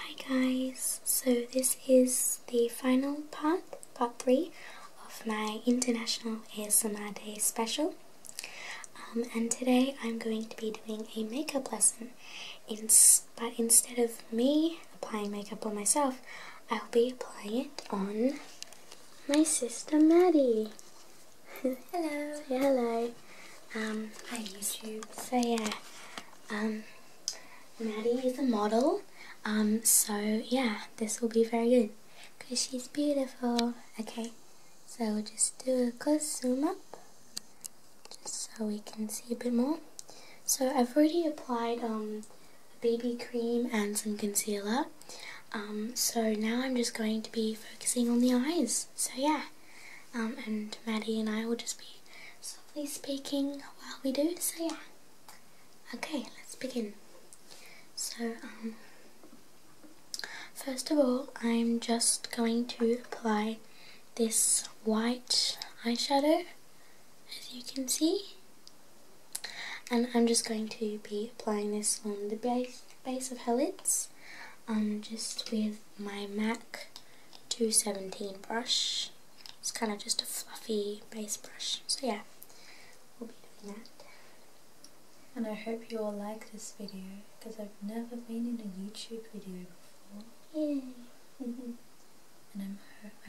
Hi guys, so this is the final part, part 3 of my International ASMR Day special um, and today I'm going to be doing a makeup lesson but instead of me applying makeup on myself, I'll be applying it on my sister Maddie. hello. Say hello. Um, hi YouTube. So yeah, um, Maddie is a model, um, so yeah, this will be very good because she's beautiful. Okay, so we'll just do a close zoom up just so we can see a bit more. So I've already applied um, BB cream and some concealer. Um, so now I'm just going to be focusing on the eyes. So yeah, um, and Maddie and I will just be actively speaking while we do, so yeah. Okay, let's begin. So, um, first of all, I'm just going to apply this white eyeshadow, as you can see. And I'm just going to be applying this on the base, base of her lids, um, just with my MAC 217 brush. It's kind of just a fluffy base brush. So yeah, we'll be doing that. And I hope you all like this video because I've never been in a YouTube video before. Yay! and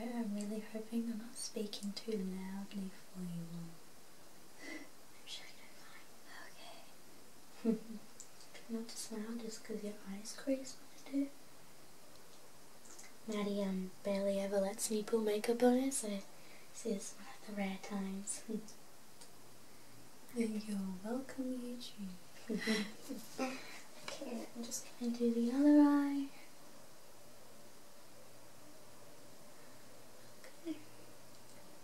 I'm, really hoping I'm not speaking too loudly for you all. Not to smile just because your eyes crease when I do. Maddie um, barely ever lets me put makeup on her, so this is one of the rare times. and you're welcome, YouTube. okay, I'm just going to do the other eye. Okay.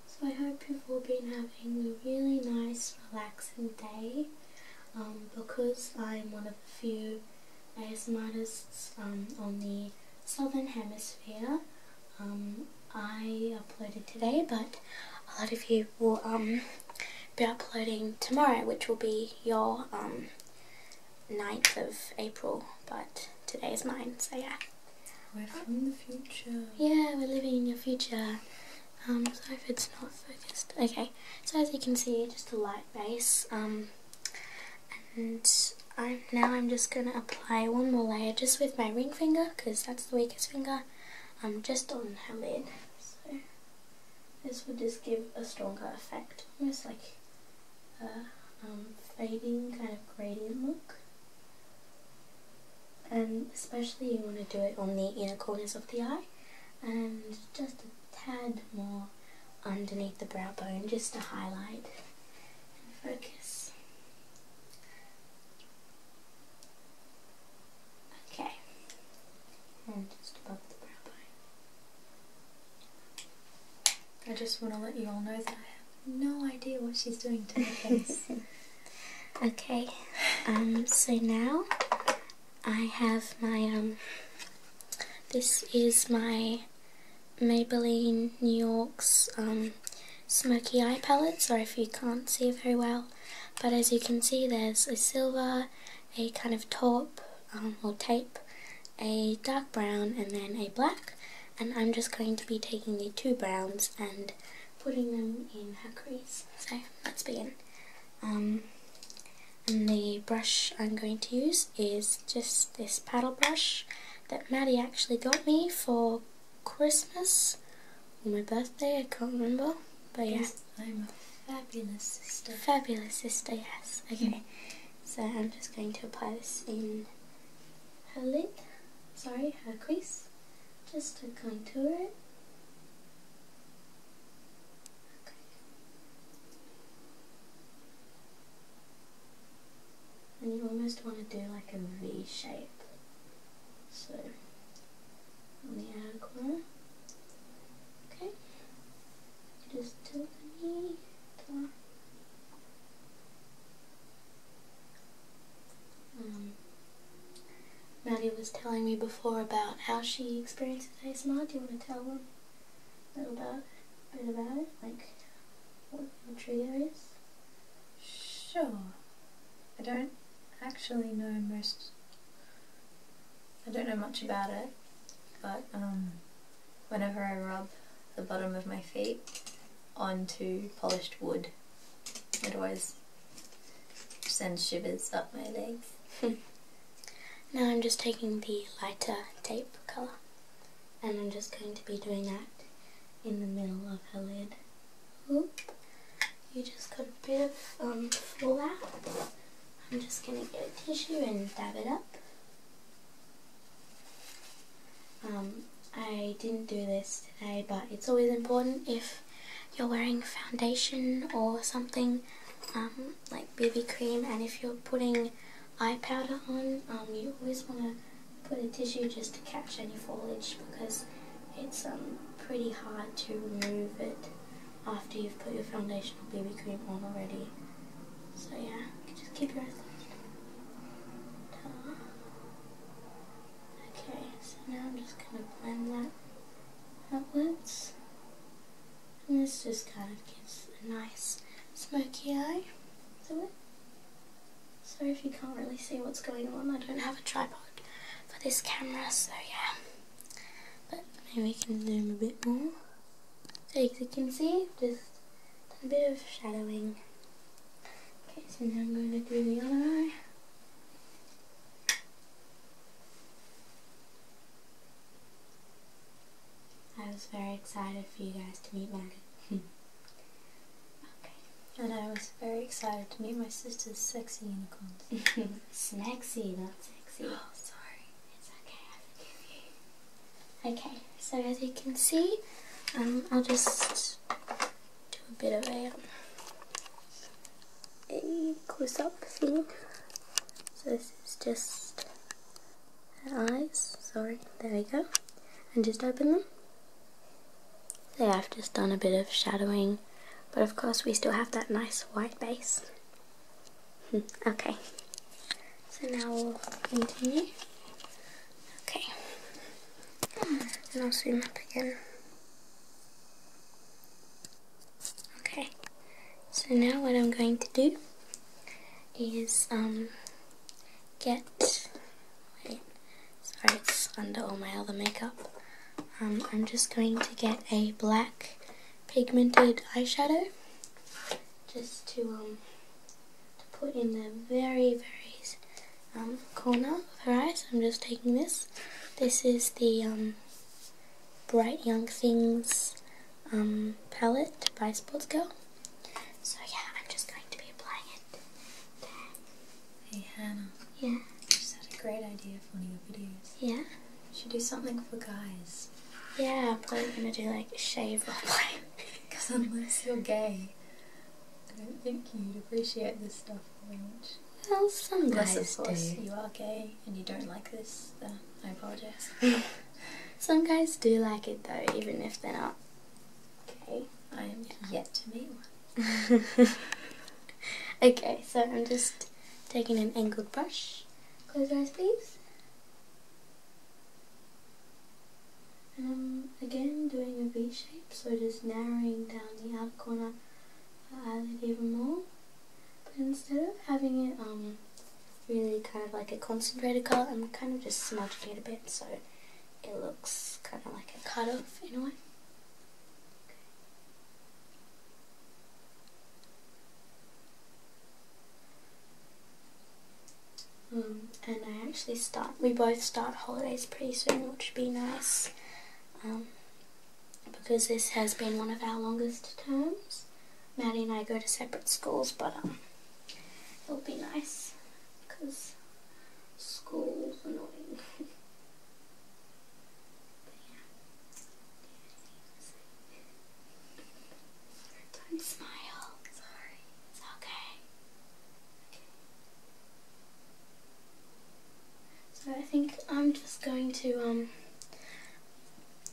So I hope you've all been having a really nice relaxing day um, because I'm one of the few ASMRtists um, on the southern hemisphere um, I uploaded today but a lot of you will um, be uploading tomorrow which will be your 9th of April but today is mine so yeah. We're from the future. Yeah, we're living in your future. Um, so if it's not focused, okay. So as you can see, just a light base. Um, and I'm now I'm just gonna apply one more layer just with my ring finger because that's the weakest finger. I'm um, just on her lid. So this would just give a stronger effect, almost like a um, fading kind of gradient look. And um, especially you want to do it on the inner corners of the eye and just a tad more underneath the brow bone just to highlight and focus. Okay, and just above the brow bone. I just want to let you all know that I have no idea what she's doing to my face. Okay, um, so now I have my, um, this is my Maybelline New York's um, smoky eye palette. So, if you can't see very well, but as you can see there's a silver, a kind of taupe or tape, a dark brown and then a black and I'm just going to be taking the two browns and putting them in her crease. So let's begin. Um, and the brush I'm going to use is just this paddle brush that Maddie actually got me for Christmas or my birthday, I can't remember. But yeah. I'm a fabulous sister. Fabulous sister, yes. Okay. So I'm just going to apply this in her lid. Sorry, her crease just to contour it. Okay. And you almost want to do like a V shape. So, on the outer corner. Okay. Just tilt the knee. Um, Maddie was telling me before about how she experiences ASMR. Do you want to tell them a little bit, bit about it? Like what your trigger is? Sure. I don't actually know most. I don't know much about it, but um, whenever I rub the bottom of my feet onto polished wood, it always Send shivers up my legs. now I'm just taking the lighter tape colour and I'm just going to be doing that in the middle of her lid. Oop. You just got a bit of um, fallout. I'm just going to get a tissue and dab it up. Um, I didn't do this today but it's always important if you're wearing foundation or something um, like BB cream and if you're putting eye powder on um, you always want to put a tissue just to catch any foliage because it's um, pretty hard to remove it after you've put your foundation or BB cream on already so yeah just keep your eyes closed Okay, so now I'm just going to blend that outwards. And this just kind of gives a nice smoky eye so it. Sorry if you can't really see what's going on, I don't have a tripod for this camera, so yeah. But maybe we can zoom a bit more. So as you can see, just a bit of shadowing Okay, so now I'm going to do the other eye. I was very excited for you guys to meet Maddie. okay, and I was very excited to meet my sister's sexy unicorns. Snacky, not sexy. Oh, sorry. It's okay, Okay, so as you can see, um, I'll just do a bit of a, a close-up thing. So this is just eyes, sorry, there we go. And just open them. So yeah, I've just done a bit of shadowing, but of course we still have that nice white base. Hmm. okay, so now we'll continue Okay. And I'll zoom up again. Okay. So now what I'm going to do is um get wait sorry it's under all my other makeup. Um, I'm just going to get a black pigmented eyeshadow just to um to put in the very, very um, corner of her eyes. I'm just taking this. This is the um, Bright Young Things um, palette by Sports Girl. So yeah, I'm just going to be applying it there. Hey Hannah. Yeah? I just had a great idea for one of your videos. Yeah? should do something for guys. Yeah, I'm probably going to do like shave or Because i I'm like are gay, I don't oh, think you'd appreciate this stuff very much. Well, some guys of course, do. you are gay and you don't like this, uh, I apologise. some guys do like it though, even if they're not gay. I am yet to meet one. okay, so I'm just taking an angled brush. Close your eyes, please. And I'm again doing a V shape, so just narrowing down the outer corner of the eyelid even more. But instead of having it um, really kind of like a concentrated colour, I'm kind of just smudging it a bit so it looks kind of like a cut off in a way. Um, and I actually start, we both start holidays pretty soon, which would be nice. Um, because this has been one of our longest terms. Maddie and I go to separate schools, but um, it'll be nice because school's annoying. Don't smile. Sorry. It's okay. So I think I'm just going to um,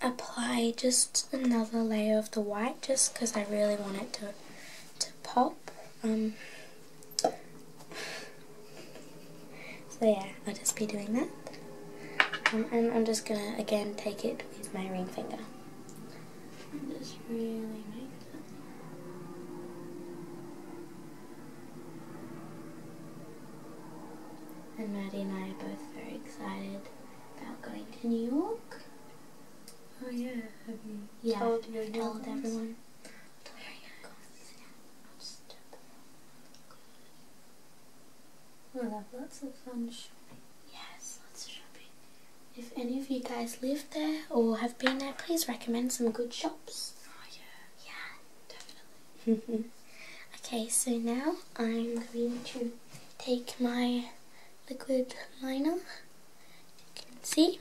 apply just another layer of the white just because I really want it to, to pop. Um. so yeah, I'll just be doing that. Um, and I'm just going to again take it with my ring finger. And really make and Maddie and I are both very excited about going to New York. Oh yeah, you yeah, told your told everyone? everyone. Oh, we'll have lots of fun shopping. Yes, lots of shopping. If any of you guys live there or have been there, please recommend some good shops. Oh yeah. Yeah, definitely. okay, so now I'm going to take my liquid liner. You can see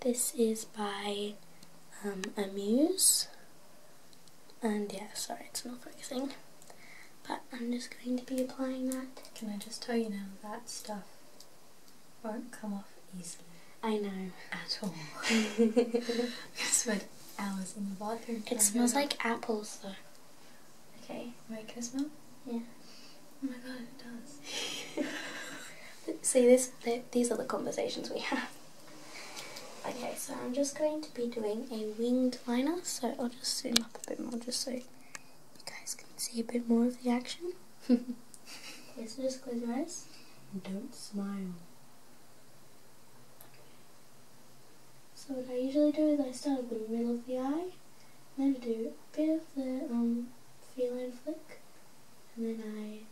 this is by um, Amuse. And yeah, sorry, it's not focusing. But I'm just going to be applying that. Can I just tell you now, that stuff won't come off easily. I know. At all. I spent hours in the bathroom. It smells like apples though. Okay. Wait, can I smell? Yeah. Oh my god, it does. See, this, these are the conversations we have. Okay, so I'm just going to be doing a winged liner, so I'll just zoom up a bit more just so you guys can see a bit more of the action. Just close your eyes. Don't smile. So what I usually do is I start up in the middle of the eye, then do a bit of the um, feline flick, and then I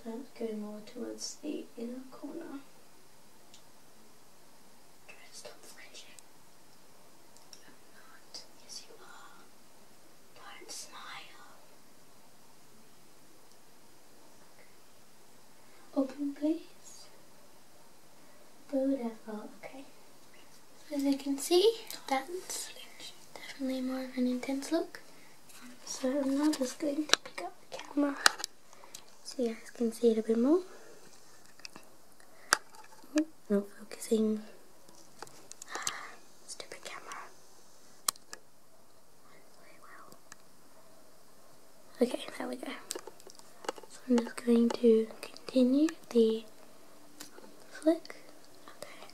start going more towards the inner corner. Try to stop flinching. I'm not. Yes, you are. Don't smile. Open, please. Beautiful. Okay. As you can see, that's definitely more of an intense look. So I'm now just going to pick up the camera so you guys can see it a bit more. Not focusing. stupid camera. Okay, there we go. So I'm just going to continue the flick. Okay.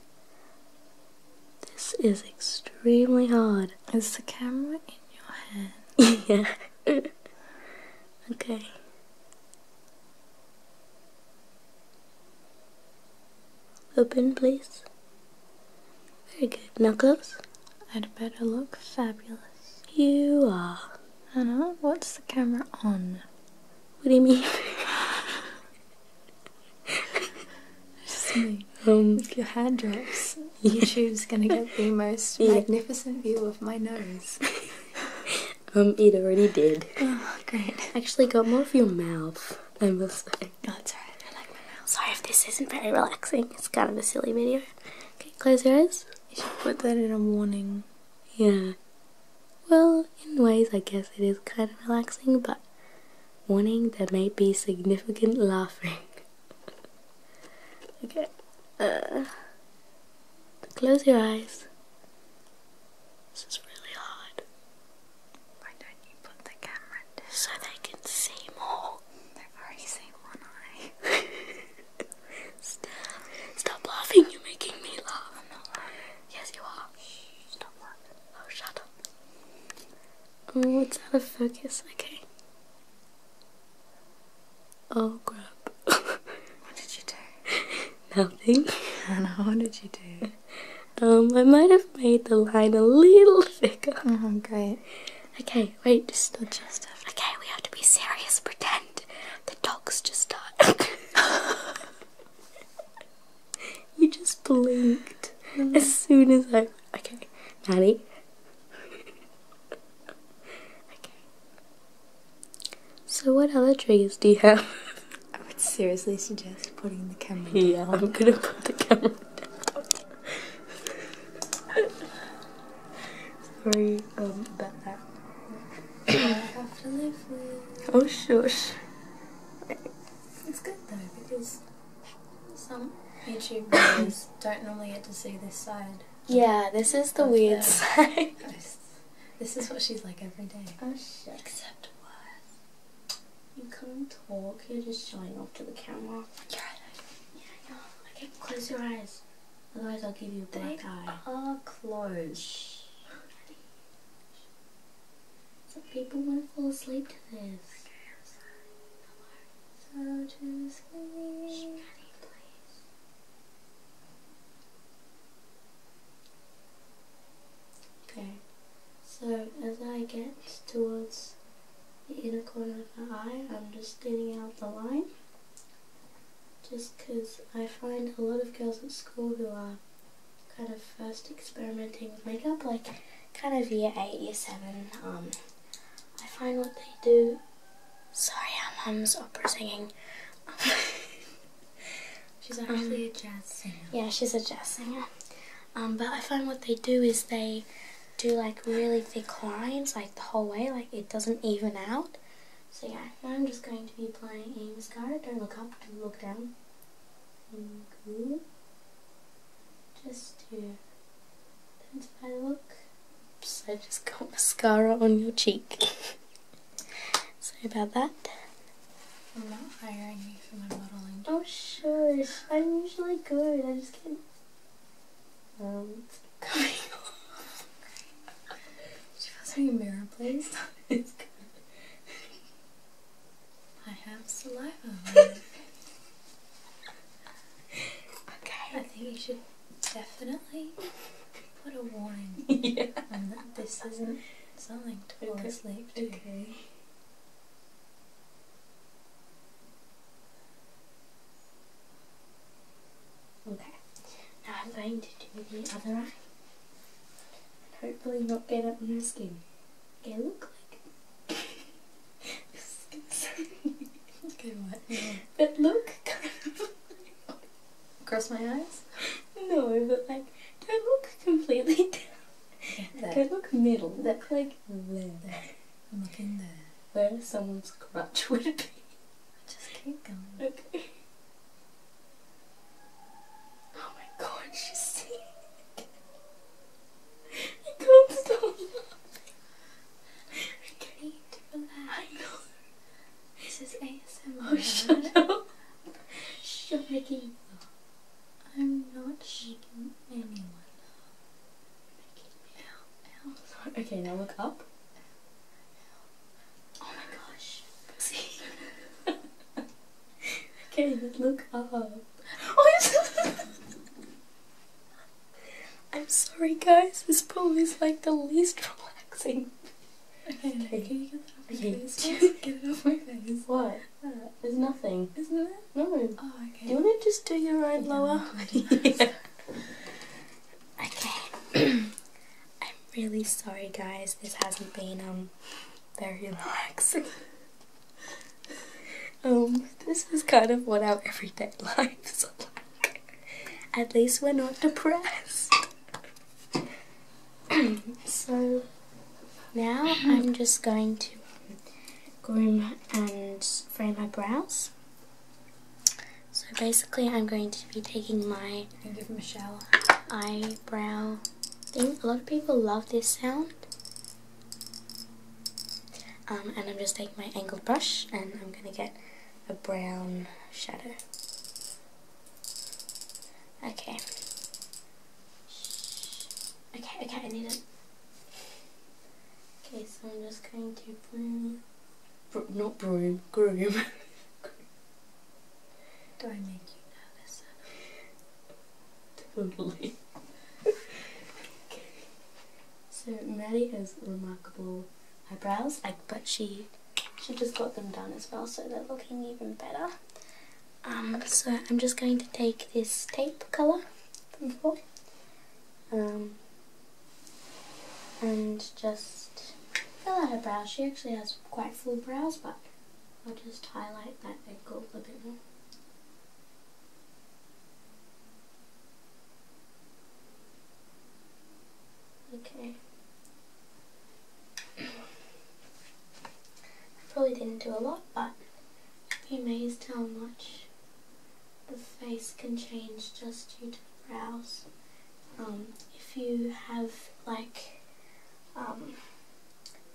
This is extremely hard. Is the camera in your hand? yeah. okay. Open, please. Very good. Now close. I'd better look fabulous. You are. Anna, what's the camera on? What do you mean? Just me. Um, if your hand drips, YouTube's gonna get the most magnificent view of my nose. Um, it already did. Oh, great. Actually got more of your mouth, I must say. Oh, it's I like my mouth. Sorry if this isn't very relaxing. It's kind of a silly video. Okay, close your eyes. You should put that in a warning. Yeah. Well, in ways, I guess it is kind of relaxing, but warning, there may be significant laughing. okay. Uh, Close your eyes. This is really hard. Why don't you put the camera So they can see more. They've already seen one eye. stop. stop laughing, you're making me laugh. Yes, you are. Shh, stop laughing. Oh, shut up. Oh, it's out of focus. Okay. Oh crap. what did you do? Nothing. And what did you do? Um, I might have made the line a little thicker. Oh, great. Okay, wait, just not just Okay, we have to be serious. Pretend the dogs just died. you just blinked mm-hmm. as soon as I. Okay, Nanny. okay. So, what other triggers do you have? I would seriously suggest putting the camera down. Yeah, I'm gonna put the camera down. Sorry um, about that. Oh, shush. It's good though, because some YouTube videos don't normally get to see this side. Yeah, this is the weird side. This is what she's like every day. Oh shit. Except worse. You can't talk, you're just showing off to the camera. Yeah. Yeah, I know. Okay, close your eyes. Otherwise I'll give you a black eye. are closed. Shh. So people want to fall asleep to this. So to sleep. Okay, so as I get towards the inner corner of my eye, I'm just thinning out the line. Just because I find a lot of girls at school who are kind of first experimenting with makeup, like kind of year 8, year 7, um, I find what they do Sorry, i mom's opera singing. she's actually a jazz singer. Yeah, she's a jazz singer. Um, but I find what they do is they do like really thick lines, like the whole way, like it doesn't even out. So yeah, I'm just going to be applying Ames card. Don't look up, don't look down. Just to intensify the look so I just got mascara on your cheek. Sorry about that. I'm not hiring you for my modelling. Oh sure, I'm usually good, I just can't... Oh, it's coming off. Could you pass me a mirror please? it's good. I have saliva Okay. I think you should Definitely. Put a warning. yeah. And that this isn't something to fall okay. asleep to. Okay. Okay. Now I'm going to do the other eye. Hopefully not get up your skin. Okay, look like. okay, what? But look kind of. Cross my eyes? No, but like, do look completely down. There. look middle. Look like there. I'm looking there. Where someone's crutch would be. I just keep going. Okay. Oh my god, she's singing. I can't stop laughing. I need to relax. I know. This is ASMR. Oh, shut up. shut I'm not shaking anyone. Okay, now look up. Oh my gosh. See? okay, look up. Oh, I'm sorry guys, this pool is like the least relaxing. Okay, can you get that off my face? get it off my face. What? Uh, there's nothing. Isn't there? No. Oh, okay. Do you want to just do your own yeah, lower? yeah. Okay. I'm really sorry guys, this hasn't been um very relaxing. Um, this is kind of what our everyday lives are like. At least we're not depressed. so now I'm just going to groom and frame my brows. So basically I'm going to be taking my give him a shower. eyebrow thing. A lot of people love this sound. Um, and I'm just taking my angled brush and I'm going to get a brown shadow. Okay. Okay, okay, I need it. Okay, so I'm just going to broom, not broom, groom. Do I make you nervous? totally. okay. So Maddie is remarkable Eyebrows, like, but she she just got them done as well, so they're looking even better. Um, so I'm just going to take this tape colour from before, um, and just fill out her brows. She actually has quite full brows, but I'll just highlight that angle a bit more. Okay. probably didn't do a lot, but you amazed how much the face can change just due to brows. Um, if you have like um,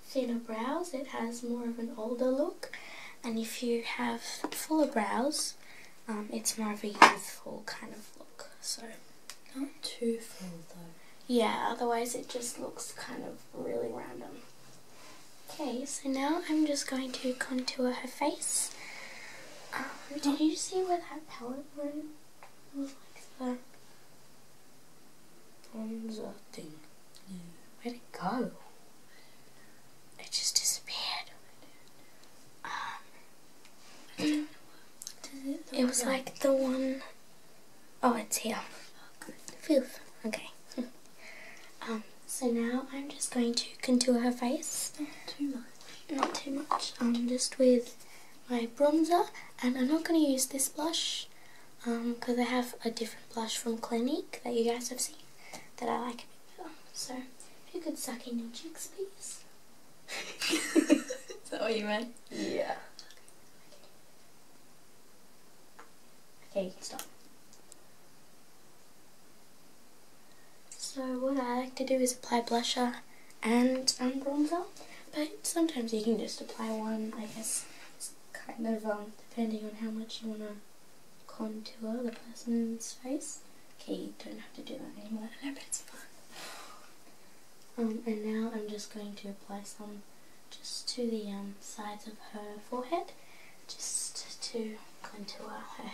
thinner brows, it has more of an older look, and if you have fuller brows, um, it's more of a youthful kind of look, so. Not too full though. Yeah, otherwise it just looks kind of really random. Okay, so now I'm just going to contour her face. Um, did you see where that palette went? It was like the bronzer thing. Yeah. Where'd it go? it just disappeared. Um, it, was like, like the one, oh, it's here. Okay. Um, so now I'm just going to contour her face. Not too much. Not too much. Um, just with my bronzer, and I'm not going to use this blush because um, I have a different blush from Clinique that you guys have seen that I like Oh, so, if you could suck in your cheeks, please. Is that what you meant? Yeah. Okay, you can stop. So what I like to do is apply blusher and um, bronzer, but sometimes you can just apply one, I guess, it's kind of um, depending on how much you want to contour the person's face. Okay, you don't have to do that anymore. I but it's fun. Um, and now I'm just going to apply some just to the um, sides of her forehead, just to contour her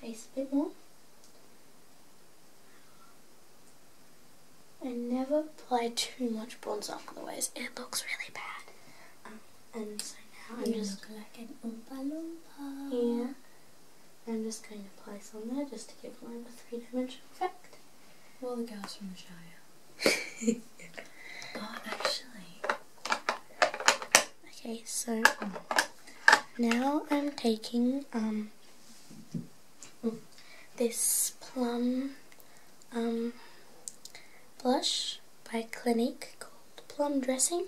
face a bit more. I never apply too much bronzer, otherwise it looks really bad. Um, and so now I'm just like an Oompa Yeah. I'm just going to apply some there just to give mine a three-dimensional effect. Well, the girls from Shire. oh, actually. Okay, so um, now I'm taking um this plum um blush by a clinic called Plum Dressing.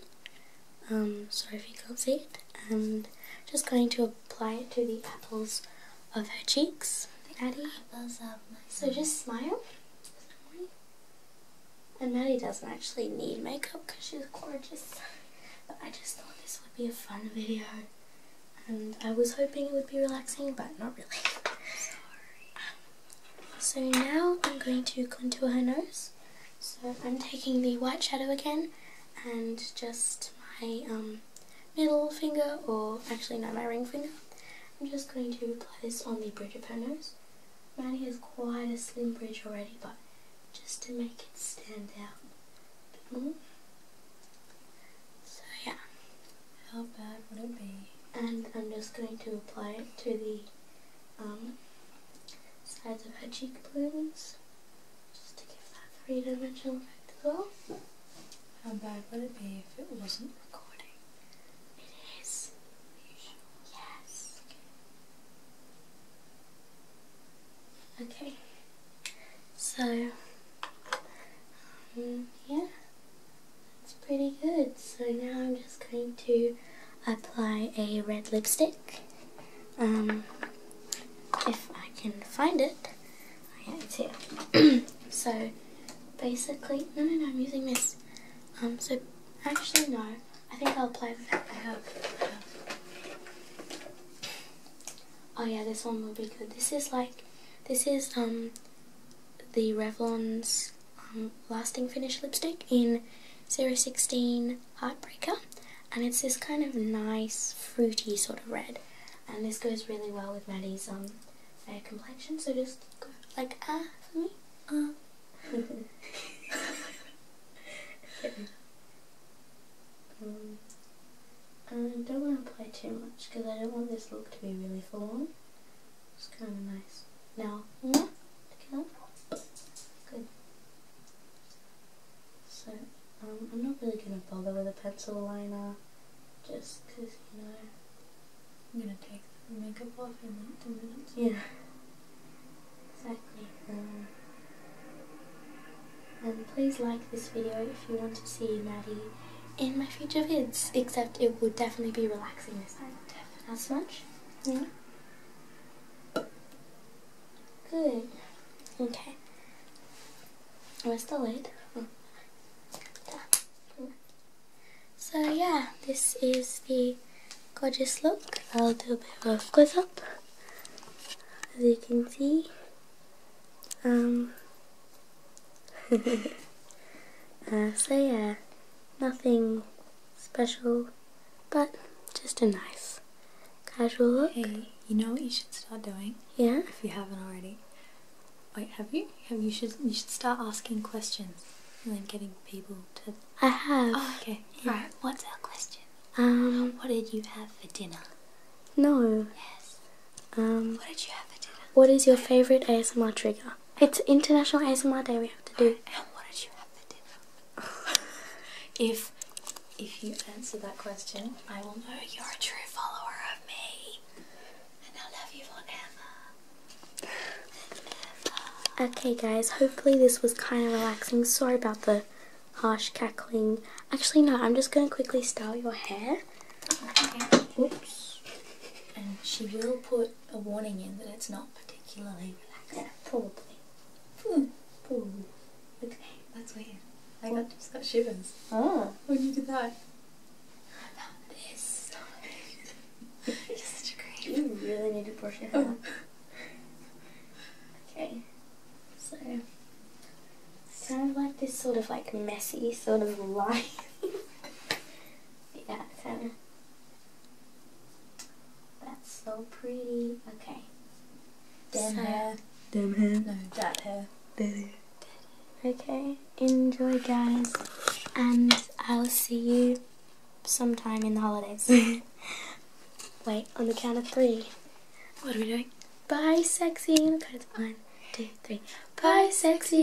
Um, sorry if you can't see it. And just going to apply it to the apples of her cheeks. Maddie. So just smile. And Maddie doesn't actually need makeup because she's gorgeous. But I just thought this would be a fun video. And I was hoping it would be relaxing, but not really. So now I'm going to contour her nose. So I'm taking the white shadow again and just my um, middle finger, or actually no, my ring finger. I'm just going to apply this on the bridge of her nose. Maddie has quite a slim bridge already, but just to make it stand out mm-hmm. So yeah. How bad would it be? And I'm just going to apply it to the um, sides of her cheekbones, just to give that three-dimensional effect as well. How bad would it be if it wasn't recording? It is. Are you sure? Yes. Okay. So, um, yeah. It's pretty good. So now I'm just going to apply a red lipstick. Um, if I can find it, I have to. so basically, no, no, I'm using this. Um, so actually, no. I think I'll apply the back up. Oh yeah, this one will be good. This is like, this is um, the Revlon's um, Lasting Finish lipstick in 016 Heartbreaker and it's this kind of nice fruity sort of red and this goes really well with Maddie's um, fair complexion so just like ah me ah um, I don't want to apply too much because I don't want this look to be really full it's kind of nice. Now, yeah, mm-hmm. look Good. So, um, I'm not really going to bother with a pencil liner, just because, you know, I'm going to take the makeup off in like two minutes. Yeah. Exactly. Um, and please like this video if you want to see Maddie in my future vids, except it will definitely be relaxing this time. Not much? Yeah. Good. Okay. Where's the lid? So yeah, this is the gorgeous look. I'll do a bit of a close up. As you can see. Um Uh, so yeah, nothing special, but just a nice casual look. Hey, you know what you should start doing? Yeah. If you haven't already. Wait, have you? Have you should you should start asking questions and then getting people to. I have. Oh, okay. Right. What's our question? Um. What did you have for dinner? No. Yes. Um. What did you have for dinner? What is your favorite ASMR trigger? It's International ASMR Day. We have to do. what did you have for dinner? if if you answer that question, I will know you're a true follower of me, and I'll love you forever. Okay, guys. Hopefully this was kind of relaxing. Sorry about the harsh cackling. Actually, no. I'm just going to quickly style your hair. Oh, Oops. And she will put a warning in that it's not particularly relaxing. Probably. Hmm. Okay, that's weird. I got, just got shivers. Oh. When you did that. This. You're such a creep. You really need to brush your hair. okay. So it's kind of like this sort of like messy sort of life. I got kinda. That's so pretty. Okay. Dead so, hair. Damn hair. No, dead hair. Dead hair. Okay, enjoy guys, and I'll see you sometime in the holidays. Wait, on the count of three. What are we doing? Bye, sexy. On the count one, two, three. Bye, sexy.